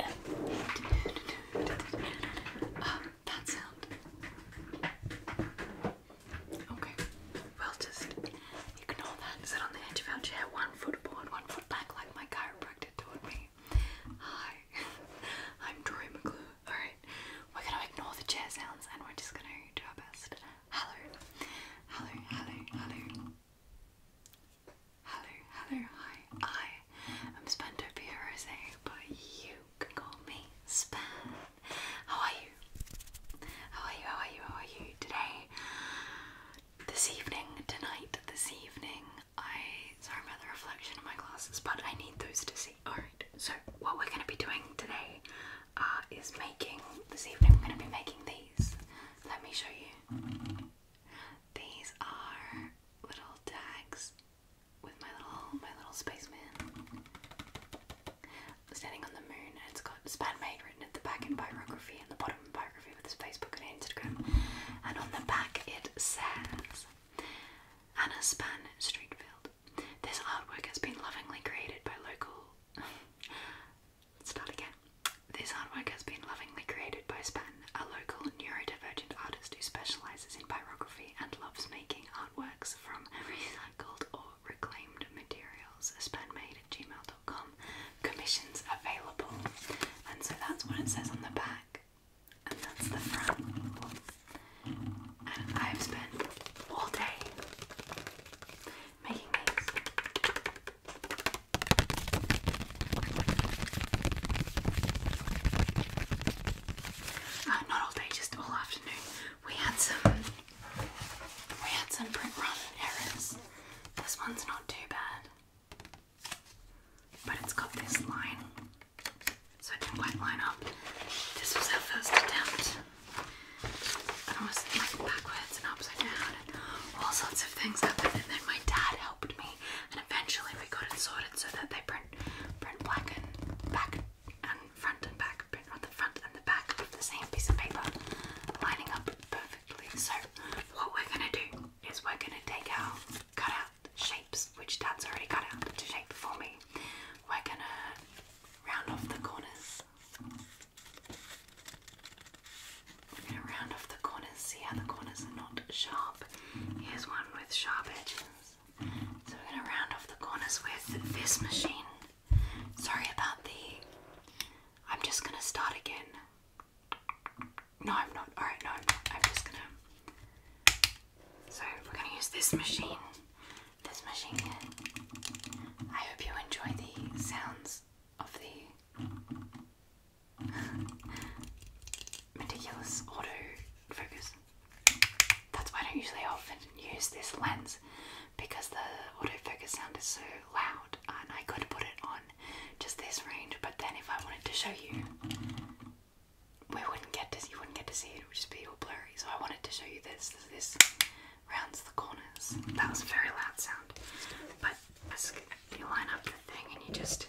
Uh, that sound. Okay, we'll just ignore that. Sit on the edge of our chair, one foot forward, one foot back, like my chiropractor taught me. Hi, I'm Troy McClure. Alright, we're gonna ignore the chair sounds and we're just gonna do our best. Hello, hello, hello, hello. Hello, hello, hi. I am Spentopia Rose, but you can call me Span. How are you? How are you? How are you? How are you today? This evening, tonight, this evening. I sorry about the reflection in my glasses, but I need those to see. Alright, so what we're gonna be doing today uh, is making this evening. we're gonna be making these. Let me show you. These are little tags with my little my little spaceman standing on the moon. It's got made written at the back in biography and the bottom in biography with his Facebook and Instagram. And on the back it says Anna Span Streetfield. This artwork has been lovingly created by local. Start again. This artwork has been lovingly created by Span, a local neurodivergent artist who specialises in pyrography and loves making artworks from recycled or reclaimed materials. Spanmade at gmail.com. Commissions available. And so that's what it says on the back. And that's the front. And I've spent all day making these. Uh, not all day, just all afternoon. We had some we had some print run errors. This one's not too bad. But it's got this line. So it didn't quite line up. This was our first attempt. And was like backwards and upside down and all sorts of things happened then my dad helped me and eventually we got it sorted so that they print print black and back and front and back print on the front and the back of the same piece of paper lining up perfectly. So what we're gonna do is we're gonna take our cut out shapes, which Dad's already cut out to shape for me. We're gonna round off the corners. I'm going to round off the corners, see how the corners are not sharp. Here's one with sharp edges. So we're going to round off the corners with this machine. Sorry about the. I'm just going to start again. No, I'm not. Alright, no, I'm just going to. So we're going to use this machine. This machine I hope you enjoy the sounds of the Meticulous auto That's why I don't usually often use this lens because the autofocus sound is so loud and I could put it on just this range but then if I wanted to show you we wouldn't get to you wouldn't get to see it, it would just be all blurry. So I wanted to show you this. This, this rounds the corners. That was a very loud sound. But as you line up the thing and you just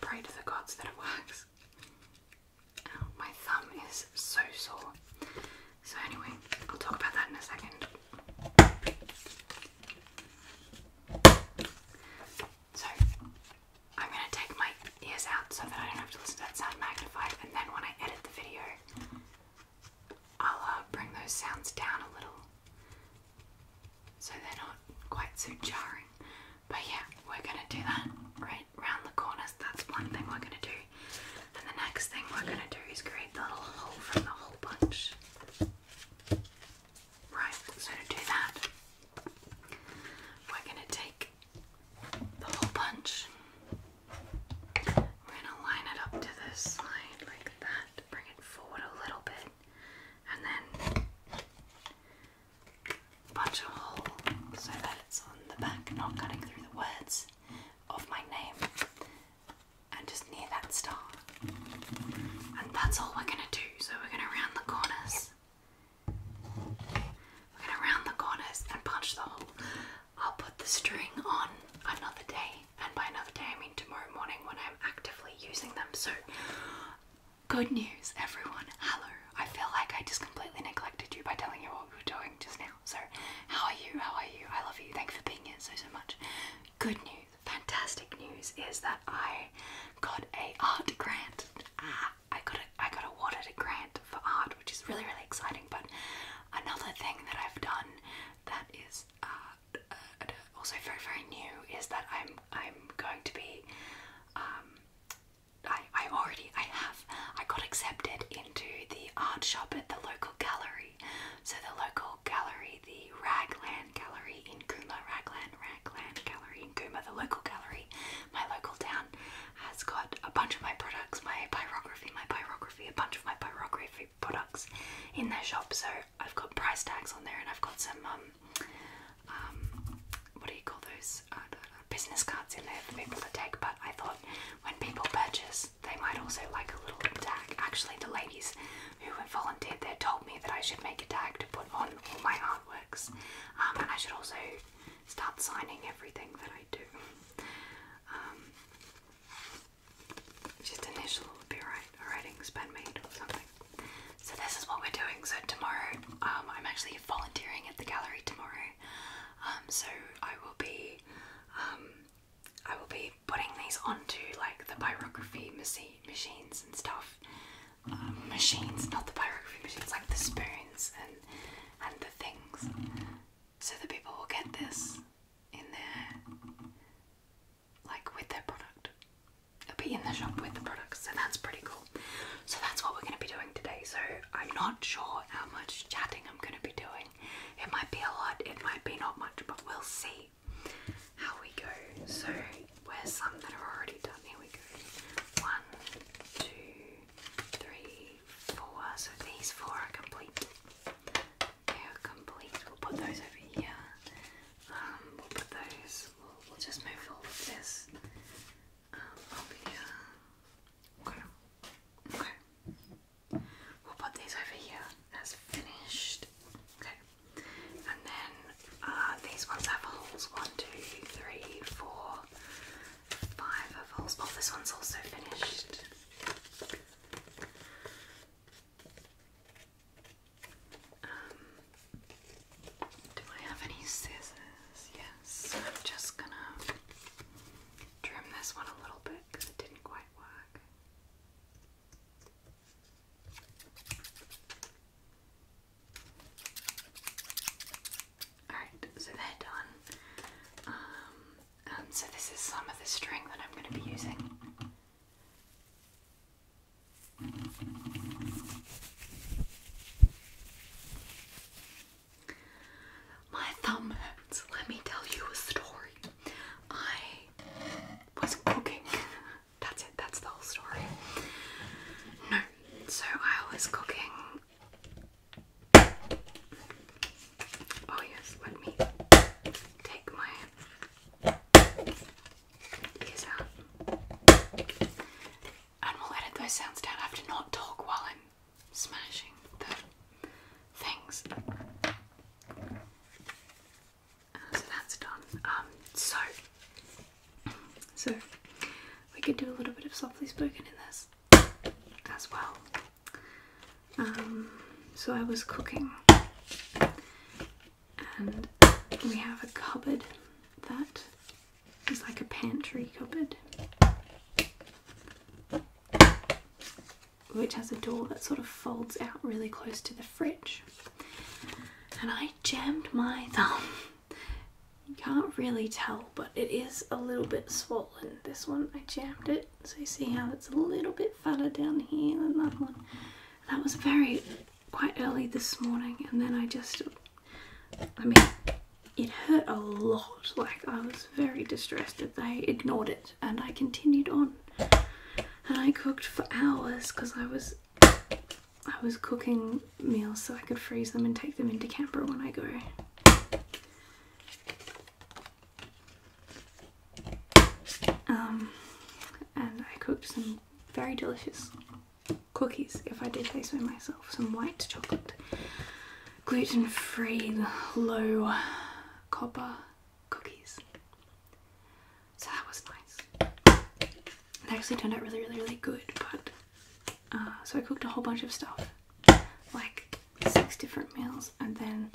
Pray to the gods that it works. my thumb is so sore. So, anyway, I'll talk about that in a second. So, I'm gonna take my ears out so that I don't have to listen to that sound magnified, and then when I edit the video, I'll uh, bring those sounds down a little so they're not quite so jarring. But yeah, we're gonna do that right round the corners. That's one thing we're gonna do, and the next thing we're gonna do is create the little hole from the whole bunch. Right, so to do that, we're going to take the whole bunch. We're gonna line it up to this side like that, bring it forward a little bit, and then punch a hole so that it's on the back, not cutting through the words of my name, and just near that star. And that's all we're gonna do. So we're gonna round the corners we're gonna round the corners and punch the hole. I'll put the string on another day, and by another day I mean tomorrow morning when I'm actively using them. So, good news, everyone. Hello. I feel like I just completely neglected you by telling you what we are doing just now. So, how are you? How are you? I love you. Thank you for being here so so much. Good news, fantastic news is that I got a art grant. Ah, I got a, I got awarded a grant for art, which is really really exciting. But another thing that I've done that is uh, uh, also very very new is that I'm I'm going to be um, I I already I have I got accepted into the art shop at the local gallery. So the local gallery, the Raglan Gallery in Cooma, Raglan Raglan Gallery in Cooma, the local gallery my local town has got a bunch of my products, my pyrography, my pyrography, a bunch of my pyrography products in their shop. So I've got price tags on there, and I've got some um, um what do you call those uh, business cards in there for people to take. But I thought when people purchase, they might also like a little tag. Actually, the ladies who volunteered there told me that I should make a tag to put on all my artworks, um, and I should also start signing everything that I do. Um, just initial would be right, a writing's been made or something. So this is what we're doing. So tomorrow, um, I'm actually volunteering at the gallery tomorrow. Um, so I will be, I will be putting these onto like the pyrography machines and stuff. Um, machines, not the pyrography machines, like the spoons and and the things, so that people will get this in their like with their product. be in the shop with the products, So that's pretty cool. So that's what we're going to be doing today. So I'm not sure how much chatting I'm going to be doing. It might be a lot, it might be not much, but we'll see how we go. So where's some that are already done? Here we go. One, two three, four. So these four are complete. They are complete. We'll put those over here. Um, we'll put those. We'll, just move all of this um, over here. Okay. Okay. We'll put these over here as finished. Okay. And then uh, these ones have holes. One, two, three, four five ovals. Oh, this one's also finished. Um, do I have any scissors? Yes, I'm just gonna trim this one a little bit because it didn't quite work. Alright, so they're done. Um, and so this is some of the string that I'm going to be using. My thumb hurts. Let me tell you a story. I was cooking. That's it, that's the whole story. No, so I was cooking. Oh, yes, let me take my ears out. And we'll edit those sounds down. I have not talk while I'm smashing things. Uh, so that's done. Um, so so we could do a little bit of softly spoken in this as well. Um, so I was cooking, and we have a cupboard that is like a pantry cupboard, which has a door that sort of folds out really close to the fridge. And I jammed my thumb you can't really tell, but it is a little bit swollen. This one, I jammed it, so you see how it's a little bit fatter down here than that one. That was very, quite early this morning, and then I just, I mean, it hurt a lot. Like, I was very distressed that they ignored it, and I continued on. And I cooked for hours because I was I was cooking meals so I could freeze them and take them into Canberra when I go. Um, and I cooked some very delicious cookies, if I did taste so myself. Some white chocolate, gluten-free, low copper cookies. So that was nice. It actually turned out really, really, really good. But uh, so I cooked a whole bunch of stuff, like six different meals, and then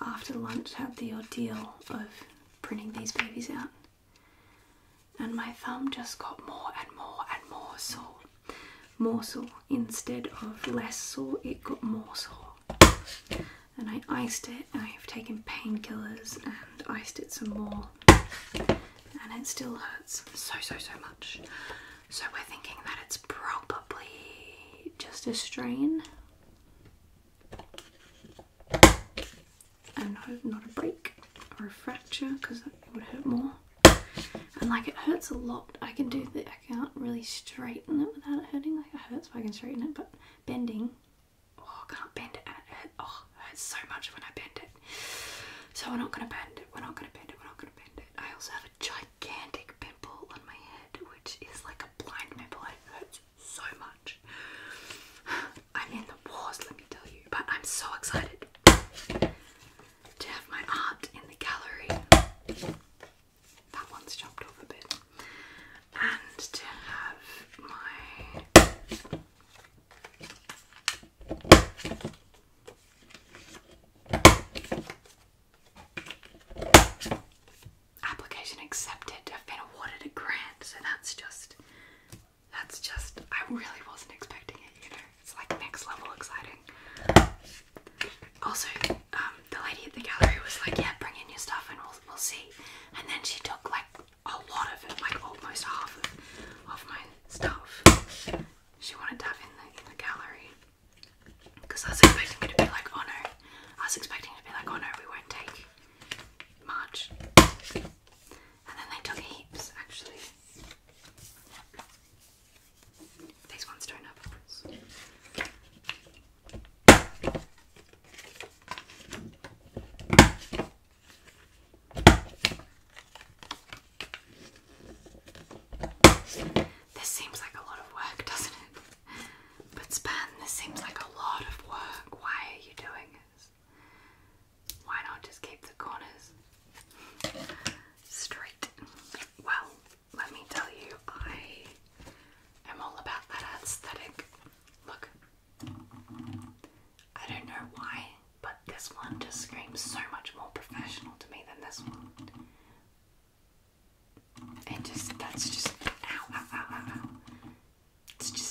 after lunch had the ordeal of printing these babies out. And my thumb just got more and more and more sore. More sore. Instead of less sore, it got more sore. And I iced it, I've taken painkillers and iced it some more and it still hurts so so so much. So we're thinking that it's probably just a strain and not a break or a fracture because that would hurt more. And like it hurts a lot. I can do that. I can't really straighten it without it hurting. Like it hurts, but I can straighten it. But bending, oh, can't bend it oh it hurts so much when I bend it. So we're not gonna bend it, we're not gonna bend it, we're not gonna bend it. I also have a gigantic pimple on my head, which is like a blind pimple, it hurts so much. I'm in the wars, let me tell you, but I'm so excited to have my art in the gallery. That one's chopped off a bit. And to have my Application accepted. I've been awarded a grant, so that's just that's just I really wasn't expecting it, you know. It's like next level exciting. Also, um, the lady at the gallery was like, "Yeah, bring in your stuff and we'll we'll see." And then she took like a lot of it, like almost half of, my stuff. She wanted to have in the in the gallery because I was expecting it to be like, oh I was expecting to be like, oh we won't take much, and then they took heaps actually. These ones don't have holes. This seems like a lot of work, doesn't it? But Span, this seems like a lot of work. Why are you doing this? Why not just keep the corners straight? Well, let me tell you, I am all about that aesthetic. Look, I don't know why, but this one just screams so much more professional to me than this one. And just, that's just,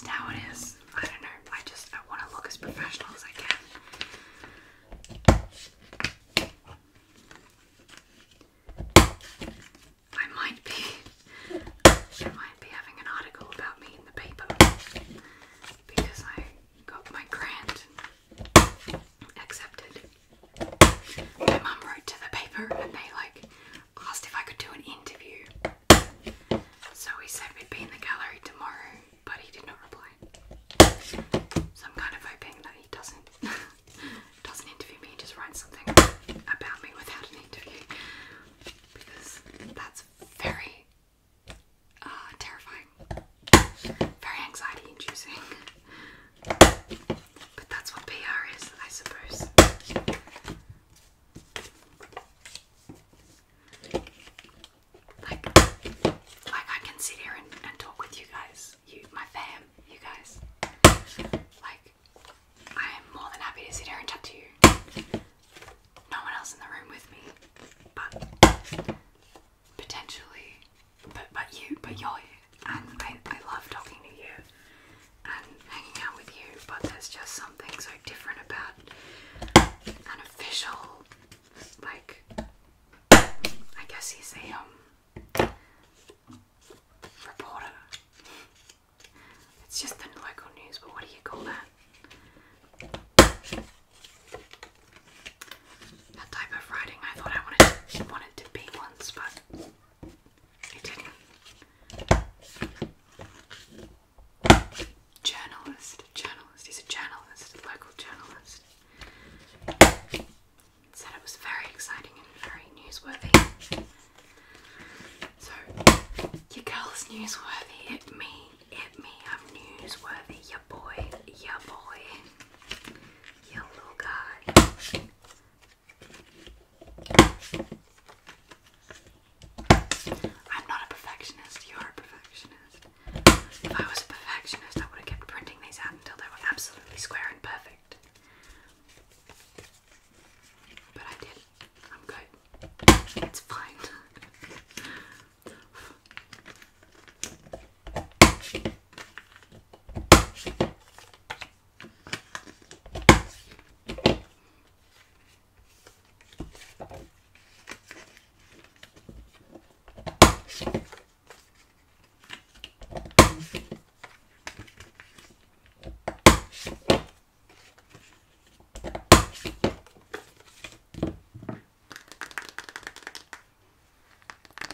how it is. I don't know. I just, I want to look as professional as I can. I might be, I might be having an article about me in the paper because I got my grant accepted. My mum wrote to the paper and they like asked if I could do an interview. So he said we'd be in the gallery tomorrow, but he did not reply. So I'm kind of hoping that he doesn't doesn't interview me, he just writes something about me without an interview. Because that's very uh, terrifying, very anxiety inducing. But that's what PR is, I suppose. Like, like I can sit here and, and talk with you guys, you, my fam, you guys. Like, I am more than happy to sit here and chat to you no one else in the room with me, but potentially, but but you, but you're here, and I, I love talking to you and hanging out with you. But there's just something so different about an official, like I guess he's a um reporter. It's just the local news, but what do you call that? That type of writing I thought I wanted to be once, but it didn't. Journalist, journalist. He's a journalist, a local journalist. Said it was very exciting and very newsworthy. So, your girl's newsworthy. It me it may have newsworthy, ya boy, ya boy, ya little guy. I'm not a perfectionist, you're a perfectionist. If I was a perfectionist, I would have kept printing these out until they were absolutely square and perfect. But I did I'm good. It's fine.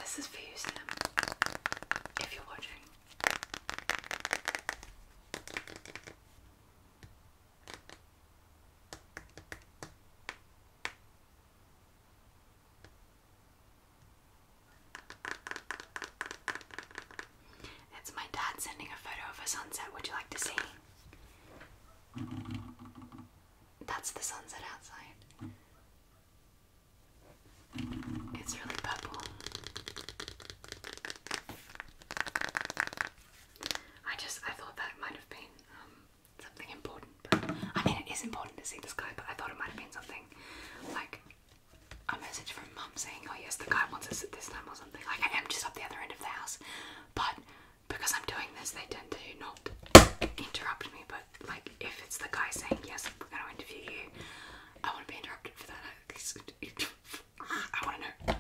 This is for you, Sam, if you're watching. It's my dad sending a photo of a sunset. Would you like to see? That's the sunset outside. It's really purple. I just I thought that might have been um, something important. I mean, it is important to see the sky, but I thought it might have been something like a message from mum saying, "Oh yes, the guy wants us at this time" or something. Like I am just up the other end of the house, but because I'm doing this, they tend to not interrupt me. But like, if it's the guy saying yes, we're going to interview you, I want to be interrupted for that. I want to know.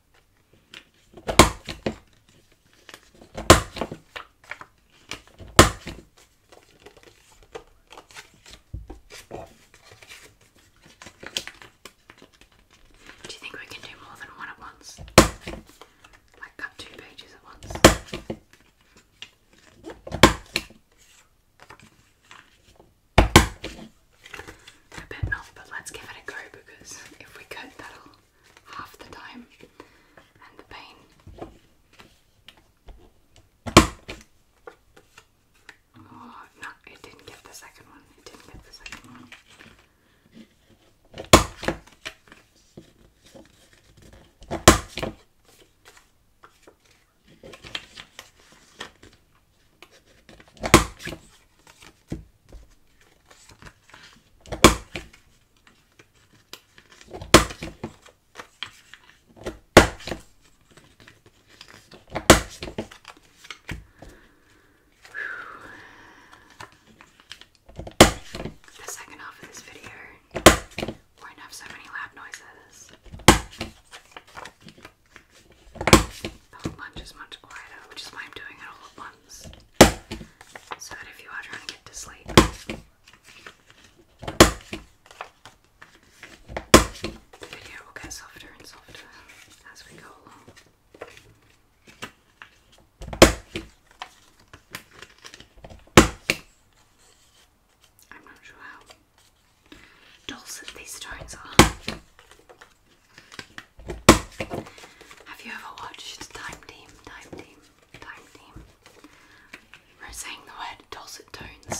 Do you think we can do more than one at once? Like cut two pages at once? I bet not, but let's give it a go because if we could, that'll half the time and the pain. Oh, no, it didn't get the second one. It didn't get the second one. The second half of this video won't have so many loud noises. The whole bunch is much quieter, which is why I'm doing it all at comes. if you are trying to get to sleep. The video will get softer and softer as we go along. I'm not sure how dulcet these tones are. Have you ever watched Time Team? Time Team? Time Team? We're saying the word dulcet tones.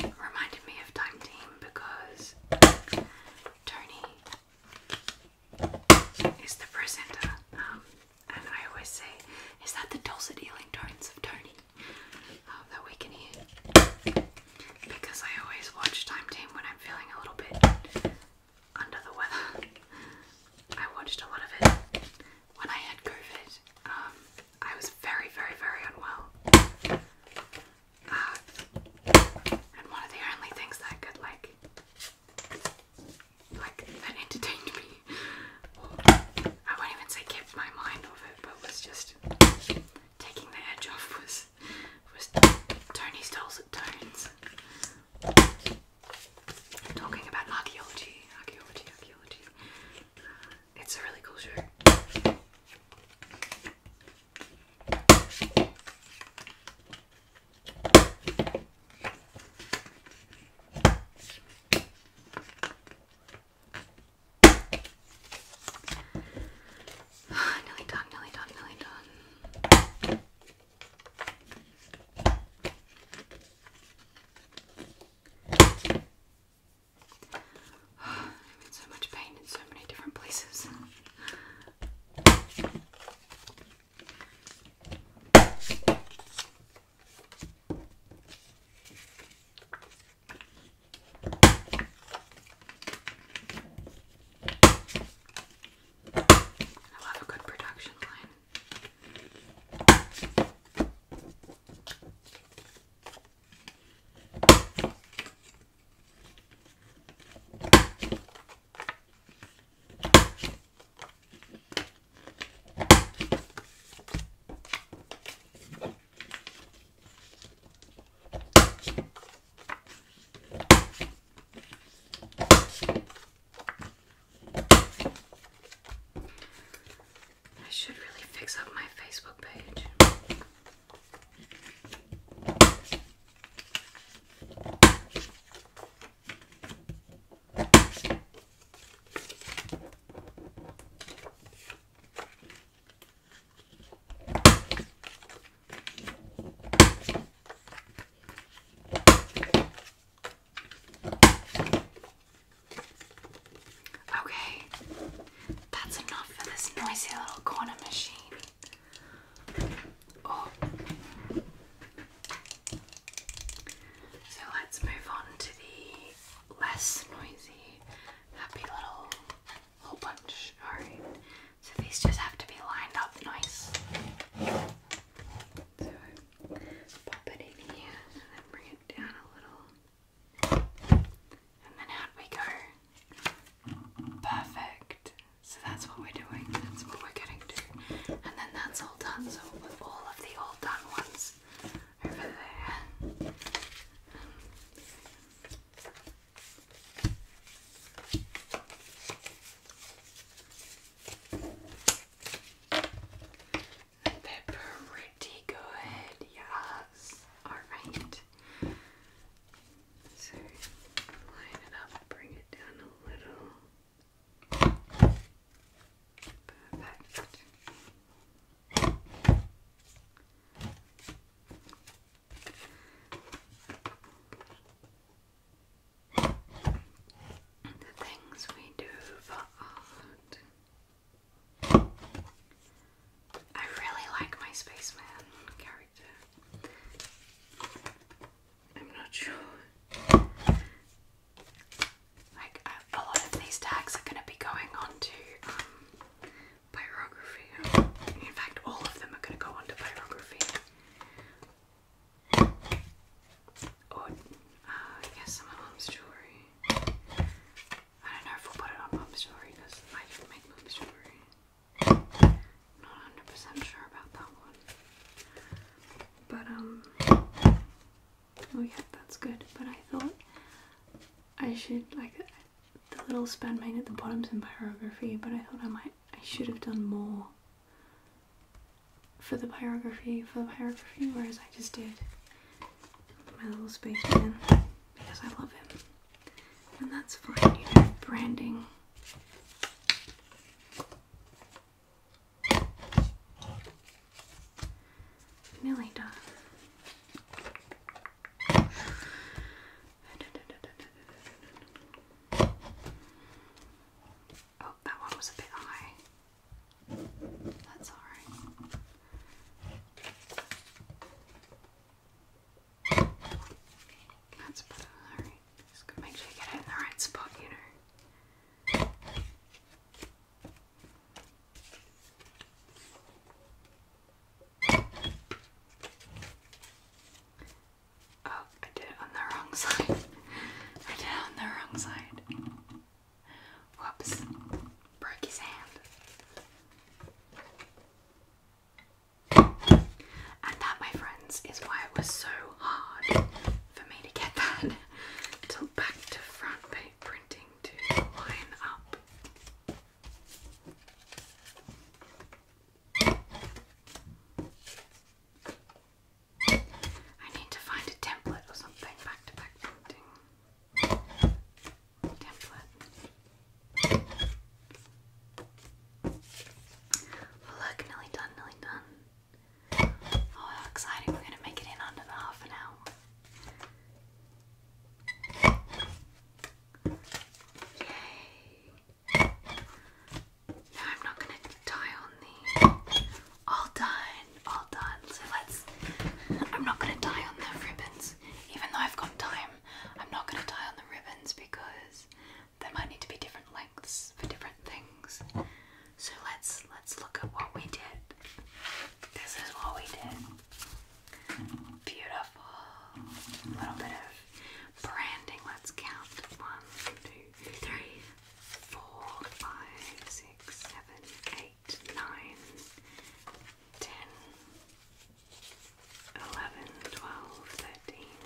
Reminded me of Time Team because Tony is the presenter, um, and I always say, that the dulcet healing tones of Tony? Uh, that we can hear because I always watch Time Team when I'm feeling a little bit under the weather. I watched a lot of it when I had COVID. Um, I was very, very, very unwell. Uh, and one of the only things that could like, like that me, I won't even say kept my mind off it, but was just taking the edge off was this was Tony Stoles at Tones. talking about archaeology, archaeology, archaeology. It's a really cool show nearly done, nearly done, nearly done. I'm in so much pain in so many different places. I love a good production line. I should really fix up my Facebook page. Okay, that's enough for this noisy little corner machine. Oh. So let's move on to the less noisy, happy little hole punch. Alright, so these just have to be lined up nice. So pop it in here and then bring it down a little. And then out we go. Perfect. So that's what we're doing. That's what we're getting to. And then that's all done. So we all of the all done ones over there pretty good, yes. Alright. So line it up, bring it down a little. Perfect. The things we do for art. I really like my spaceman character. I'm not sure. Like, a lot of these tags are going to be going on um, pyrography. In fact, all of them are going to go onto pyrography. Or, uh, I guess some of Mom's jewelry. I don't know if we'll put it on Mom's jewelry because I didn't make Mom's jewelry. Not 100% sure about that one. But, um, oh yeah, that's good. But I thought I should, like, the little span made at the bottom's in pyrography, but I thought I might I should have done more for the pyrography for the pyrography, whereas I just did my little space man because I love him. And that's fine, you know, branding. Millie does. Oh, that one was a bit high. That's alright. That's better, alright. Just gonna make sure you get it in the right spot, you know. Oh, I did it on the wrong side. I did it on the wrong side. Whoops. Broke his hand. And that, my friends, is why it was so hard for me to get that to back to front page printing to line up. I need to find a template or something, back to back printing. Template. look, nearly done, nearly done. Oh, how exciting! We're going to make it in under the half an hour. Yay! No, I'm not gonna tie on the. All done, all done. So let's. I'm not gonna tie on the ribbons, even though I've got time. I'm not gonna tie on the ribbons because they might need to be different lengths for different things. So let's let's look at what we did. This is what we did. Beautiful. A little bit of branding. Let's count. One, two, three, four, five, six, seven, eight, nine, ten, eleven, twelve, thirteen,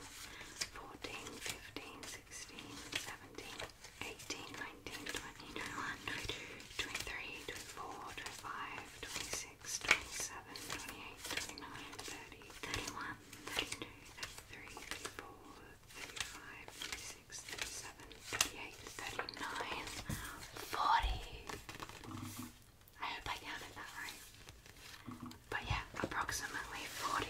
fourteen, fifteen, sixteen, seventeen, eighteen, nineteen, twenty, twenty-one, twenty-two, twenty-three, twenty-four, twenty-five, twenty-six. 26, 28, 29, 31, I hope I counted that right. But yeah, approximately 40.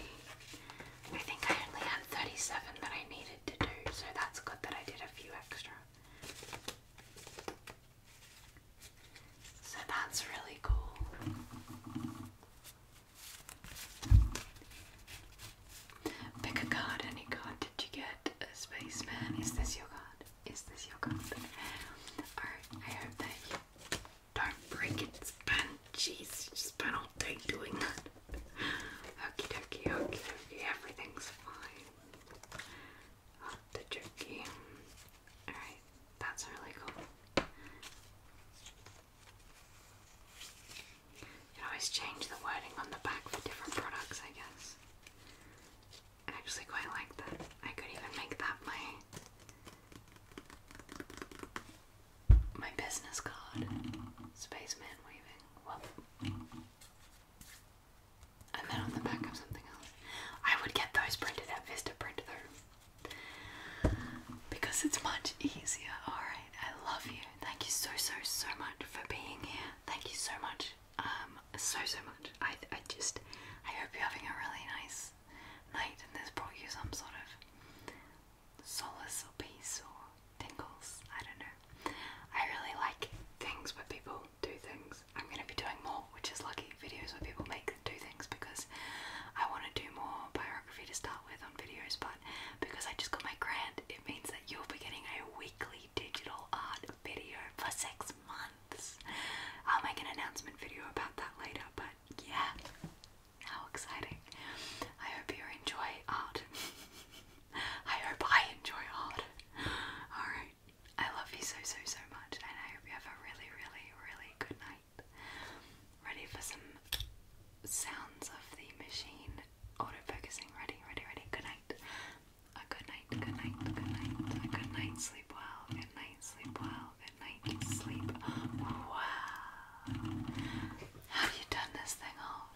I think I only had 37 that I needed to do, so that's good that I did a few extra. So that's really cool. Pick a card, any card. Did you get a spaceman? Is this your card? Is this your card? Alright, I hope that you don't break it, Span. Jeez, you spent all day doing that. Okie dokie, okie dokie, everything's fine the jerky. Alright, that's really cool. You always change the wording on the back for different products, I guess. actually quite like that. I could even make that my my business card. Spaceman waving and then on the back of something else. I would get those printed at Vista Print though, because it's much easier. Alright, I love you. Thank you so, so, so much for being here. Thank you so much. Um, so, so much. I, I just, I hope you're having a really nice night and this brought you some sort of solace or peace or tingles. I don't know. I really like things with people do things. I'm going to be doing more, which is lucky, videos where people make do things because I want to do more biography to start with on videos, but because I just got my grant, it means that you'll be getting a weekly digital art video for six months. I'll make an announcement video about that later, but yeah, how exciting. I hope you enjoy art. I hope I enjoy art. Alright. I love you so, so, so much, and I hope you have a really, really, really good night. Ready for some sounds of the machine autofocusing. Ready, ready, ready. Good night. A good night, good night, good night. A good night, sleep well. Good night, sleep well. Good night, sleep well. Have you done this thing off?